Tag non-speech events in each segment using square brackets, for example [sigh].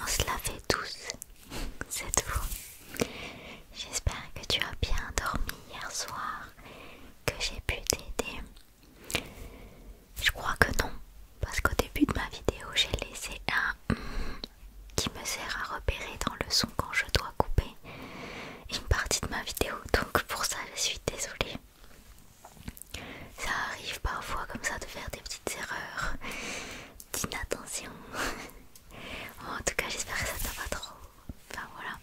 on se la fait tous [laughs] c'est tout, J'espère que tu as bien dormi hier soir, que j'ai pu t'aider. Je crois que non, parce qu'au début de ma vidéo, j'ai laissé un hum qui me sert à repérer dans le son quand je dois couper une partie de ma vidéo, donc pour ça je suis désolée. Ça arrive parfois comme ça de faire des petites erreurs d'inattention. [laughs] en tout cas, j'espère que ça t'a pas trop. Enfin voilà,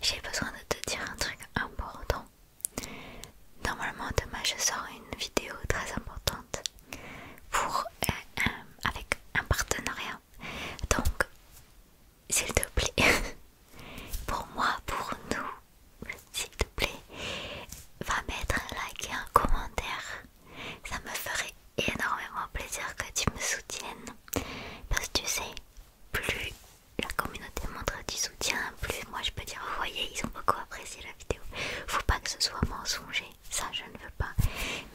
j'ai besoin de te dire un truc important. Normalement demain je sors une vidéo très importante pour euh, avec un partenariat. Donc s'il te plaît, [laughs] pour moi, pour nous, s'il te plaît, va mettre un like et un commentaire. Ça me ferait énormément plaisir que tu me soutiennes. Parce que tu sais, plus la communauté montre du soutien, plus moi je peux dire, voyez, ils ont beaucoup apprécié la vidéo. Faut pas que ce soit mensonger, ça je ne veux pas.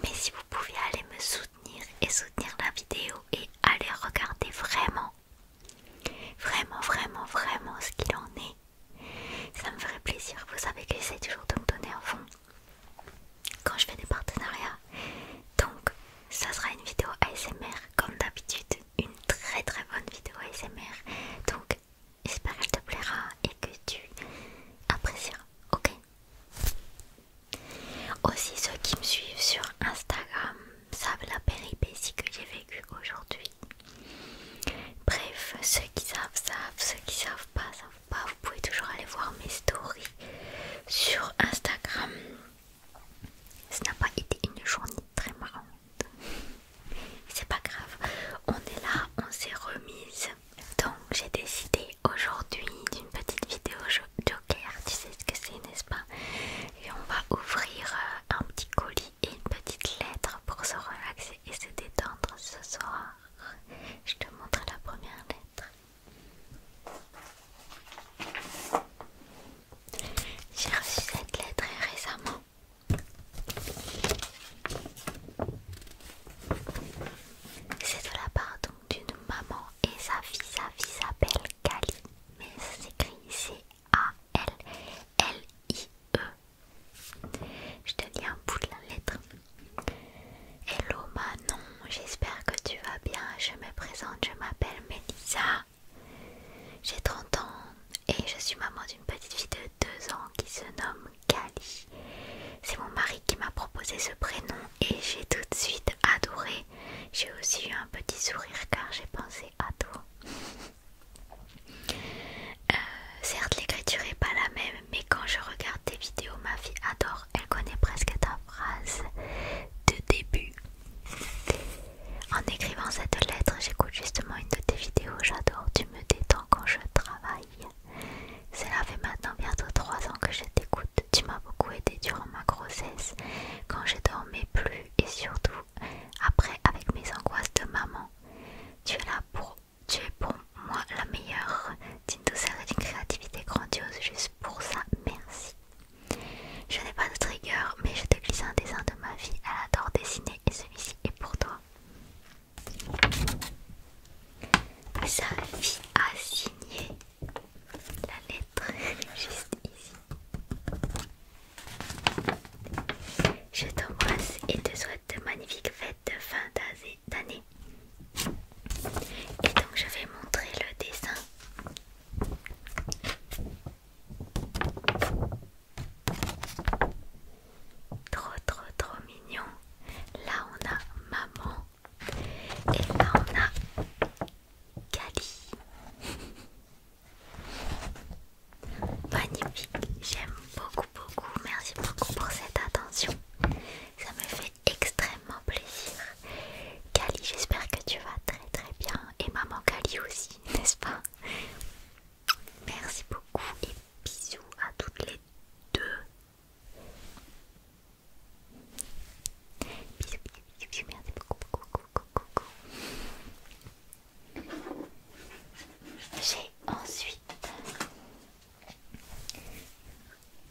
Mais si vous pouviez aller me soutenir et soutenir la vidéo et aller regarder vraiment, vraiment, vraiment, vraiment ce qu'il en est. Ça me ferait plaisir. Vous savez que j'essaie toujours de me donner un fond quand je fais des partenariats. Donc, ça sera une vidéo ASMR comme d'habitude. Une très très bonne vidéo ASMR. Donc, j'espère qu'elle te plaira et que tu apprécieras. Ok aussi ceux qui me suivent sur Instagram savent la péripétie que j'ai vécue aujourd'hui Bref, ceux qui savent savent, ceux qui savent pas savent pas. Vous pouvez toujours aller voir mes stories sur Instagram. Ce n'a pas été une journée très marrante. C'est pas grave, on est là, on s'est remise. Donc j'ai décidé aujourd'hui d'une petite vidéo joker, tu sais ce que c'est n'est-ce pas Et on va ouvrir euh, un petit colis une petite lettre pour se relaxer et se détendre ce soir. Je te montre la première lettre. J'ai reçu cette lettre récemment. C'est de la part d'une maman et sa fille, sa fille s'appelle Kali mais ça s'écrit ici a-L-L-I-E. Je te lis un bout de la lettre. Hello Manon, j'espère que tu vas bien. Je me présente, je m'appelle Melissa. J'ai 30 ans et je suis maman d'une petite fille de 2 ans qui se nomme Kali. C'est mon mari qui m'a proposé ce prénom et j'ai tout de suite adoré. J'ai aussi eu un petit sourire car j'ai pensé à toi. [laughs] Euh, certes l'écriture est pas la même mais quand je regarde tes vidéos ma fille adore, elle connaît presque ta phrase de début. En écrivant cette lettre j'écoute justement une de tes vidéos, j'adore, tu me détends quand je travaille. Cela fait maintenant bientôt trois ans que je t'écoute, tu m'as beaucoup aidé durant ma grossesse, quand je dormais plus et surtout après, avec mes angoisses de maman, tu es là pour. Tu es pour moi la meilleure, d'une douceur et d'une créativité grandiose, juste pour ça, merci. Je n'ai pas de trigger, mais je te glisse un dessin de ma vie, elle adore dessiner et celui-ci est pour toi. Sa vie a signé la lettre [laughs] juste ici. Je t'embrasse et te souhaite de magnifiques fêtes de fin d'année. Et donc je vais montrer le dessin. Trop trop trop mignon. Là on a maman. Et là on a Cali. Magnifique, j'aime beaucoup beaucoup, merci beaucoup pour cette attention, ça me fait extrêmement plaisir. Kali, j'espère que tu vas très très bien et maman Kali aussi, [laughs] n'est-ce pas Merci beaucoup et bisous à toutes les deux. Bisous, bisous, bisous, merci beaucoup, beaucoup, beaucoup, beaucoup. J'ai ensuite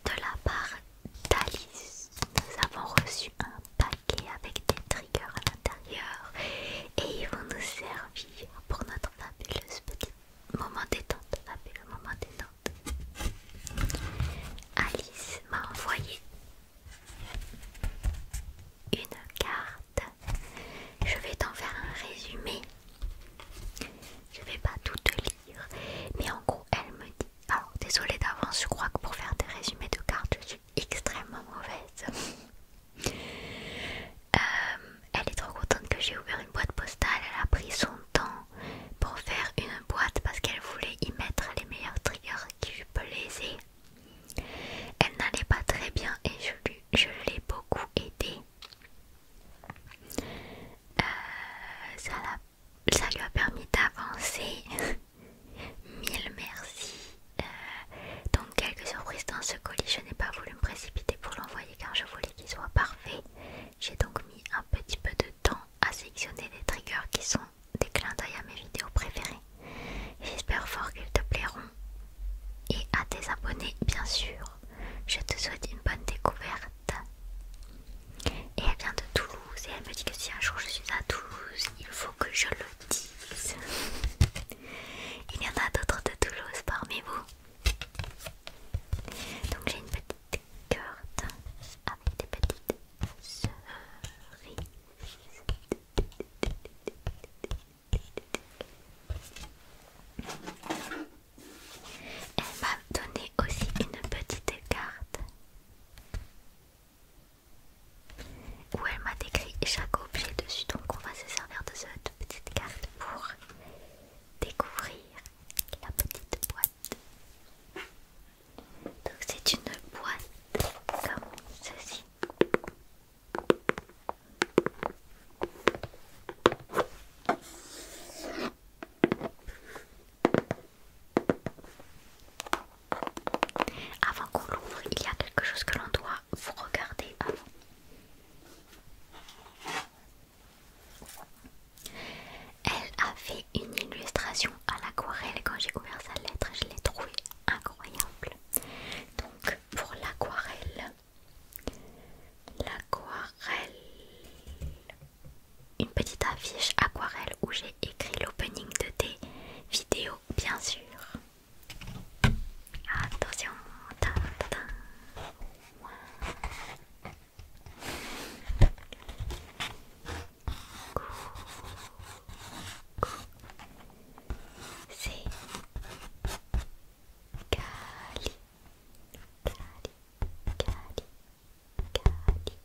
de la part d'Alice, nous avons reçu un paquet avec des triggers à l'intérieur et ils vont nous servir pour notre fabuleuse petite moment détente, fabuleux moment détente. Alice m'a envoyé une carte je vais t'en faire un résumé. Je vais pas tout te lire, mais en gros, elle me dit. Alors, désolée d'avance, je crois que pour faire des résumés de cartes, je suis extrêmement mauvaise. [laughs] Euh, elle est trop contente que j'ai ouvert une boîte postale. Elle a pris son temps pour faire une boîte parce qu'elle voulait y mettre les meilleurs triggers qui lui plaisaient. Elle n'allait pas très bien et je l'ai beaucoup aidée. Euh, ça, lui a permis d'avancer. [laughs] Mille merci. Euh, donc quelques surprises dans ce colis. Je n'ai pas voulu me précipiter pour l'envoyer car je voulais qu'il soit parfait. J'ai donc mis un petit peu de temps à sélectionner les triggers qui sont des clins d'œil à mes vidéos préférées. J'espère fort qu'ils te plairont et à tes abonnés bien sûr. Je te souhaite une bonne découverte. Et elle vient de Toulouse et elle me dit que si un jour je suis à Toulouse, il faut que je le dise. Il y en a d'autres de Toulouse parmi vous. Donc j'ai une petite carte avec des petites cerises. Elle m'a donné aussi une petite carte où elle m'a décrit chaque objet dessus. Donc on va se servir de cette petite carte pour découvrir la petite boîte. Donc c'est une boîte comme ceci. Avant qu'on l'ouvre, il y a quelque chose que l'on doit vous regarder avant. Elle a fait une illustration à l'aquarelle. Quand j'ai ouvert sa lettre, je l'ai trouvée incroyable. Donc pour l'aquarelle, L'aquarelle. Une petite affiche aquarelle où j'ai écrit l'opening de tes vidéos, bien sûr. Attention. C'est Cali, Cali, Cali, Cali.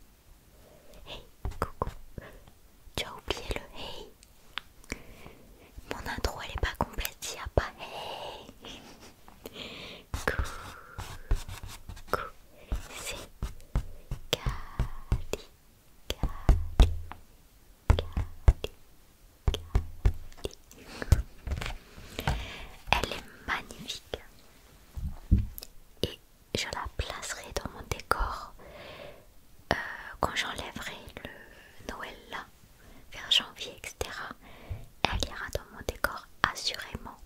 Hey, coucou. Tu as oublié le hey. Mon intro elle est pas complète s'il n'y a pas hey. Coucou. C'est kali Cali, elle est magnifique et je la placerai dans mon décor euh, quand j'enlèverai le Noël là, vers janvier, etc. Elle ira dans mon décor assurément.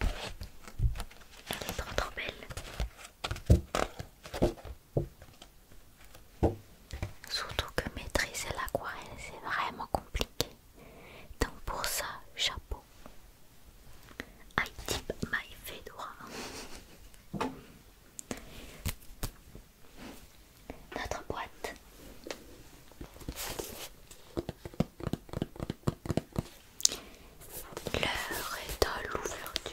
Elle est trop trop belle. Surtout que maîtriser l'aquarelle, c'est vraiment compliqué. Donc pour ça, chapeau. I tip my fedora. Notre boîte. L'heure est à l'ouverture.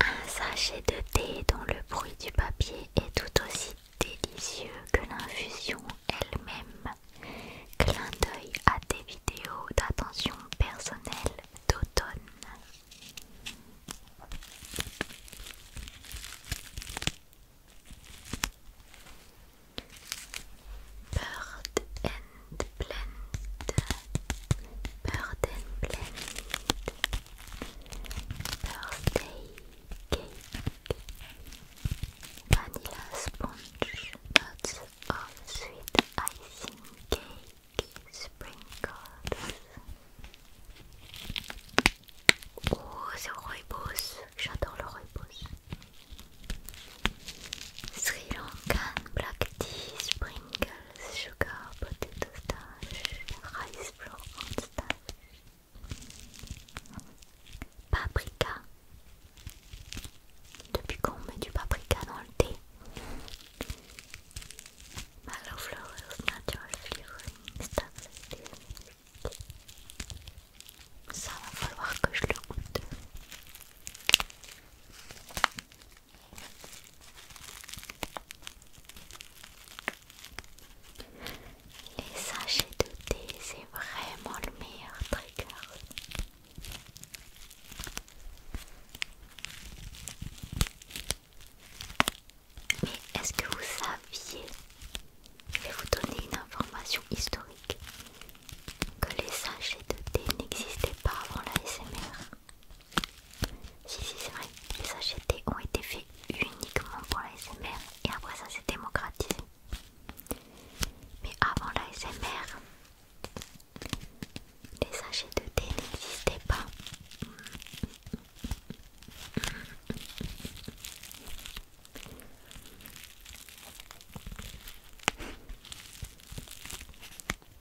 Un sachet de thé dont le bruit du papier est tout aussi délicieux que l'infusion elle-même. Clin d'œil à des vidéos d'attention personnelle d'automne. Bird and Blend. Birthday cake, vanilla sponge, nuts of sweet icing cake, sprinkles. Oh, c'est rooibos, j'adore le rooibos. Sri Lankan black tea sprinkles sugar potato stash, rice flour paprika. Depuis quand on met du paprika dans le thé? Mallow natural stuff Ça va falloir que je le goûte. Les sachets de thé, c'est vraiment le meilleur trigger. Mais est-ce que vous saviez, je vais vous donner une information historique, que les sachets de thé n'existaient pas avant la SMR si, si, c'est vrai, les sachets de thé ont été faits uniquement pour la SMR et après ça s'est démocratisé. Mais avant la SMR, les sachets de thé n'existaient pas.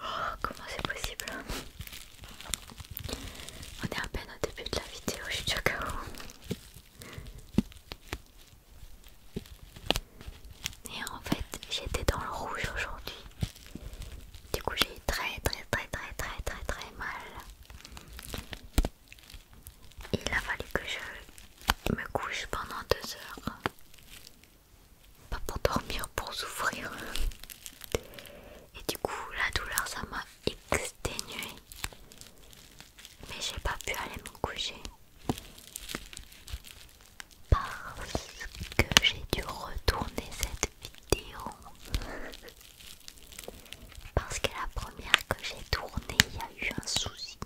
Oh, comment c'est possible hein. On est à peine au début de la vidéo, je suis déjà où Et en fait, j'étais dans le rouge aujourd'hui. Du coup, j'ai eu très très très très très très très mal. Il a fallu que je me couche pendant deux heures pas pour dormir, pour souffrir. Et du coup, la douleur, ça m'a exténué Mais j'ai pas pu aller me coucher. Parce que j'ai dû retourner cette vidéo. Parce que la première que j'ai tournée, il y a eu un souci.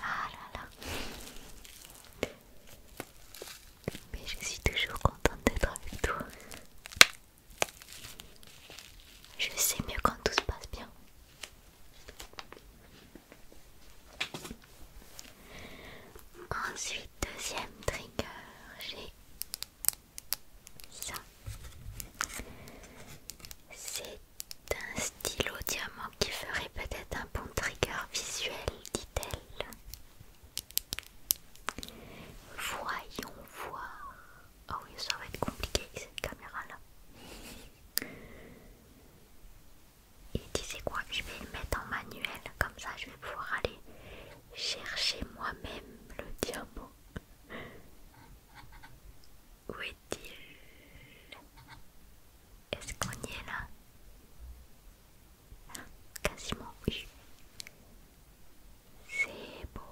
Ah là là. Mais je suis toujours contente d'être avec toi. Je sais mieux quand tout se passe bien. Ensuite, deuxième trigger, j'ai ça. C'est un stylo diamant qui ferait peut-être un bon trigger visuel, dit-elle. Voyons voir. Oh oui, ça va être compliqué avec cette caméra-là. Et c'est quoi, je vais mettre en manuel, comme ça je vais pouvoir aller chercher moi-même le diamant. Où est-il Est-ce qu'on y est là Quasiment, oui. C'est beau.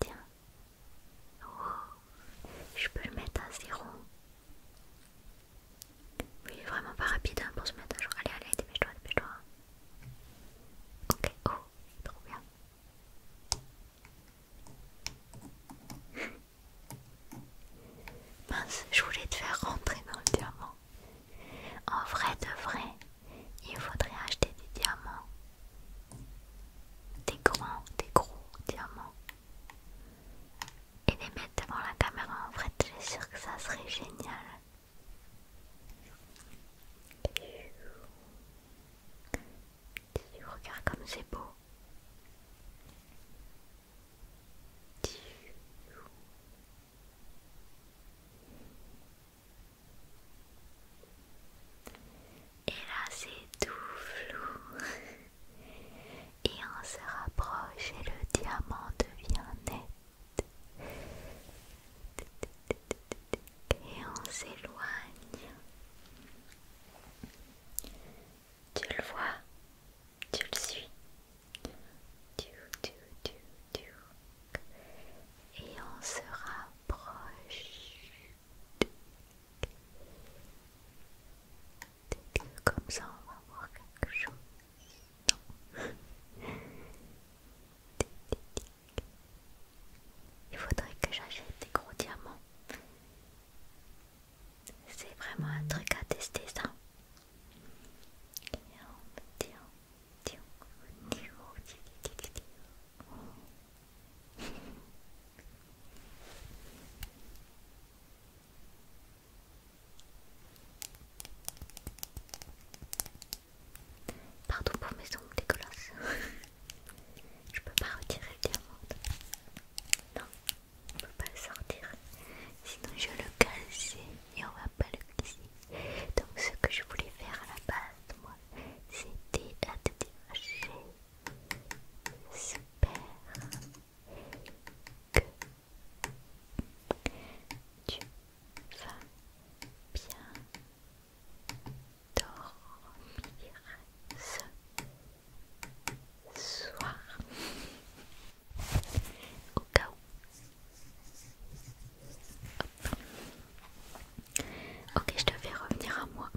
Tiens. Oh, je peux le mettre à zéro. Oui, vraiment pas rapide hein, pour se mettre à jour. Allez, allez, dépêche-toi, dépêche-toi. Ok, oh, trop bien. Mince, je voulais te faire rentrer dans le diamant. En vrai de vrai, il faudrait acheter des diamants. Des grands, des gros diamants. Et les mettre devant la caméra, en vrai, je suis sûre que ça serait génial. Regarde comme c'est beau. Et là, c'est tout flou. Et on se rapproche et le diamant devient net. Et on s'éloigne. Tu le vois, tu le suis. Tu, Et on se rapproche. Comme ça, on va voir quelque chose. Il faudrait que j'achète des gros diamants. C'est vraiment un truc à tester ça. Pardon pour mes ongles dégueulasses. [laughs] Je peux pas retirer le diamant. Non, on peut pas le sortir. Sinon je le casser et on va pas le glisser. Donc ce que je voulais faire à la base, moi, c'était à te Super que tu vas bien dormir soir au cas où ok je te fais revenir à moi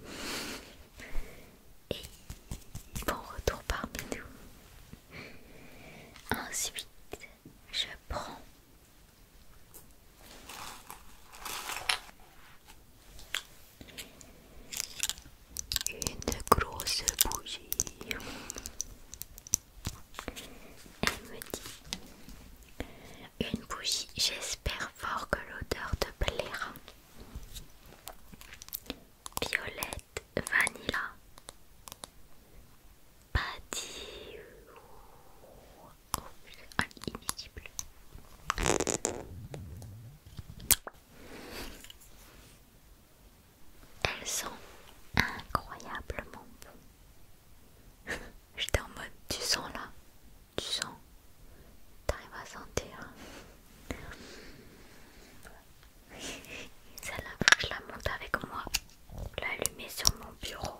et bon retour parmi nous ensuite je prends une grosse bougie. Elle me dit Une bougie, j'espère fort que l'odeur te plaira. Violette, vanilla, patio. Oh, elle sent incroyablement Je [laughs] J'étais en mode, tu sens là, tu sens, t'arrives à sentir. [laughs] Celle-là, je la monte avec moi, l'allumer sur mon bureau.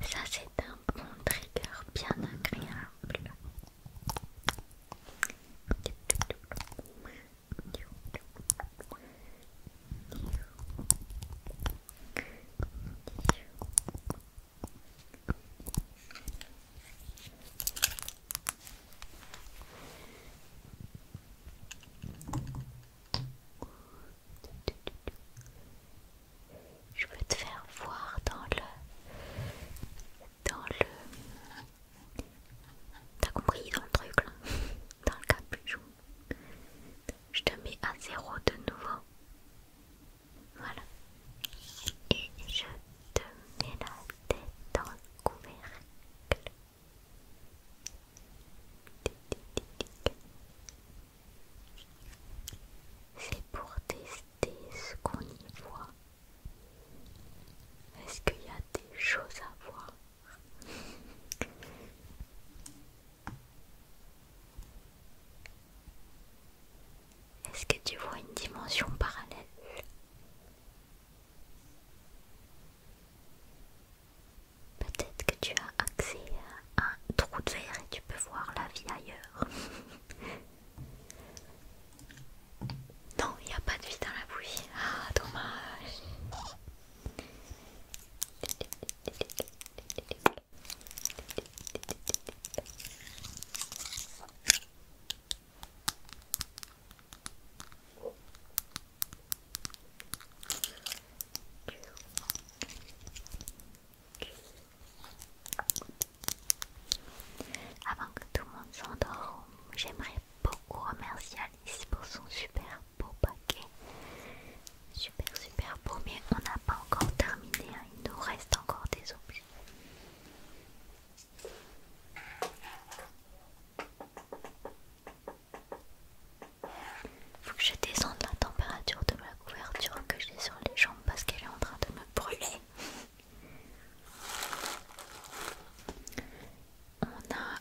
Ça, c'est un bon trigger bien agréable. Je peux te faire voir dans le... Dans le... T'as compris dans le truc là Dans le capuchon. Je te mets à zéro de nouveau. Voilà. Et je te mets la tête dans le couvercle. C'est pour tester ce qu'on y voit. Est-ce qu'il y a des choses à voir est-ce que tu vois une dimension parallèle Peut-être que tu as accès à un trou de verre et tu peux voir la vie ailleurs. [laughs] non, il n'y a pas de vie dans la bouillie. Ah, dommage. Avant que tout le monde s'endorme, j'aimerais beaucoup remercier Alice pour son super beau paquet. Super super beau, mais on n'a pas encore terminé, hein. il nous reste encore des objets. Il Faut que je descende la température de ma couverture que j'ai sur les jambes parce qu'elle est en train de me brûler. On a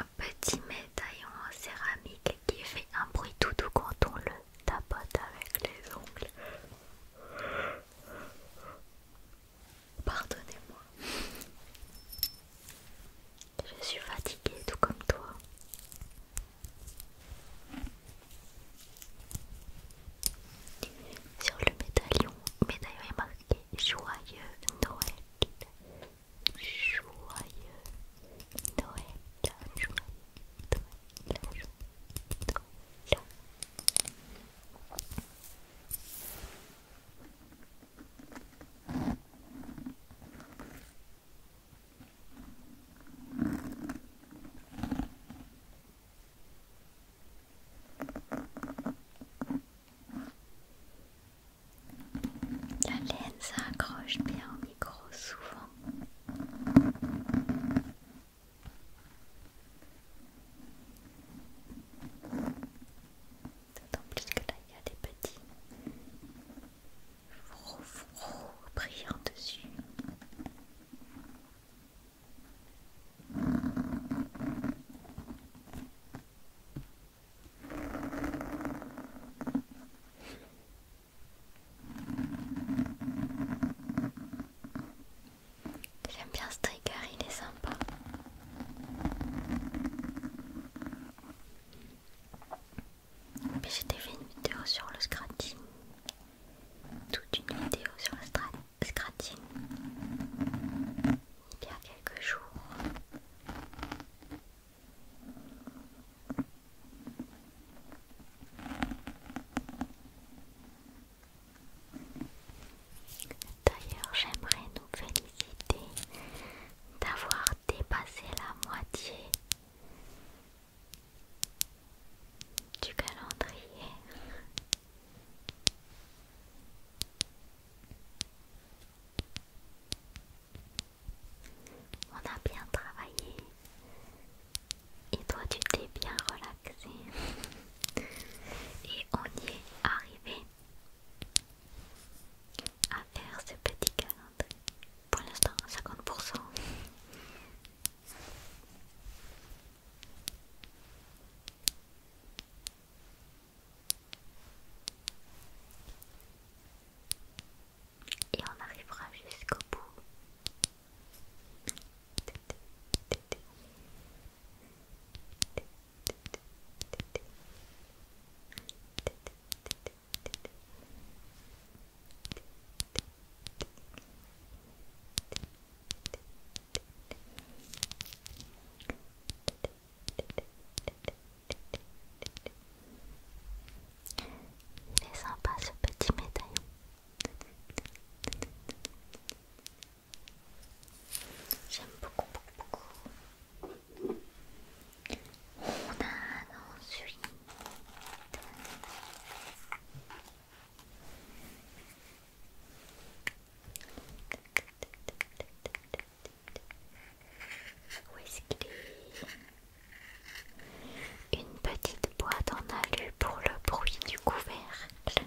un petit médaillon en céramique qui fait un bruit tout doux quand on le tapote avec les ongles. Pardonnez-moi. Je suis fatiguée tout comme toi. Sur le médaillon, médaillon est marqué Joyeux Noël. Joyeux Noël. Joyeux la laine s'accroche bien au micro souvent. C'est D'autant plus que là il y a des petits frou frou dessus. J'aime bien ce il est sympa. Mais j'ai fait une vidéo sur le scratching. Toute une vidéo sur le scratching. Il y a quelques jours. D'ailleurs, j'aimerais nous féliciter d'avoir dépassé la moitié du calendrier. On a bien travaillé et toi tu t'es bien relaxé. Et on y est arrivé à faire ce petit calendrier. Pour l'instant à 50%. Et on arrivera jusqu'au bout. Il est sympa ce petit médaillon. J'aime beaucoup, beaucoup, beaucoup. On a ensuite où est-ce qu'il est Une petite boîte en alu pour le bruit du couvercle.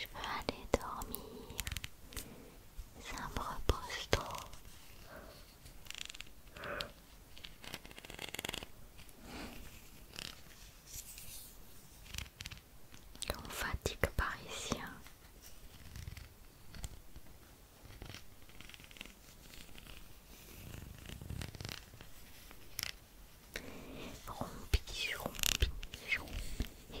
Je veux aller dormir. Ça me repose trop. On fatigue parisien. Hein. Rompi, rompi, rompis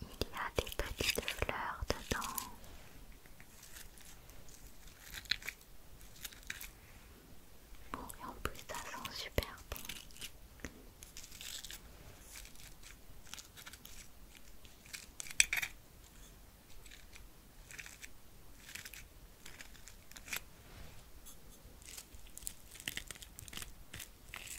Il y a des petites fleurs dedans. Bon, et en plus, ça sent super bon.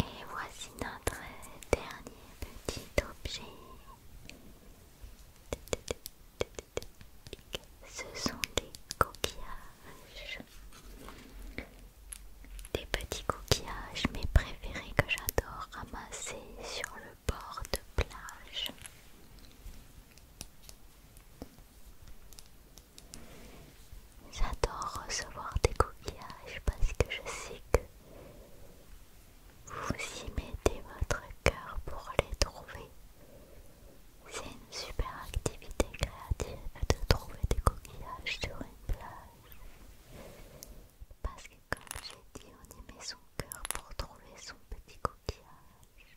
Et voici notre dernier petit objet. Ce sont des coquillages. Des petits coquillages, mes préférés que j'adore ramasser sur le bord de plage. J'adore recevoir des coquillages parce que je sais que vous y mettez votre cœur pour les trouver. C'est une super activité créative de trouver des coquillages sur une plage. Parce que comme j'ai dit, on y met son cœur pour trouver son petit coquillage.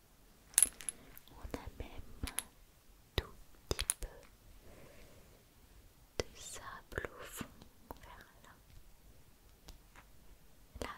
On a même tout petit peu de sable au fond vers là. Là,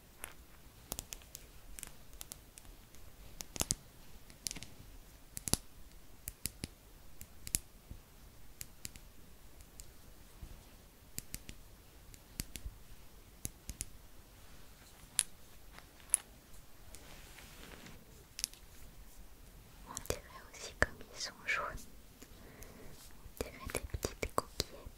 On dirait aussi comme ils sont jaunes. On dirait des petites coquillettes.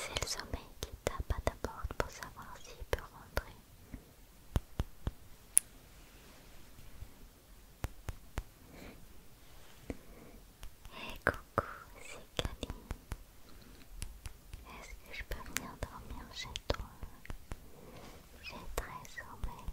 C'est le sommeil qui tape à ta porte pour savoir s'il peut rentrer. Hey coucou, c'est Kali. Est-ce que je peux venir dormir chez toi J'ai très sommeil.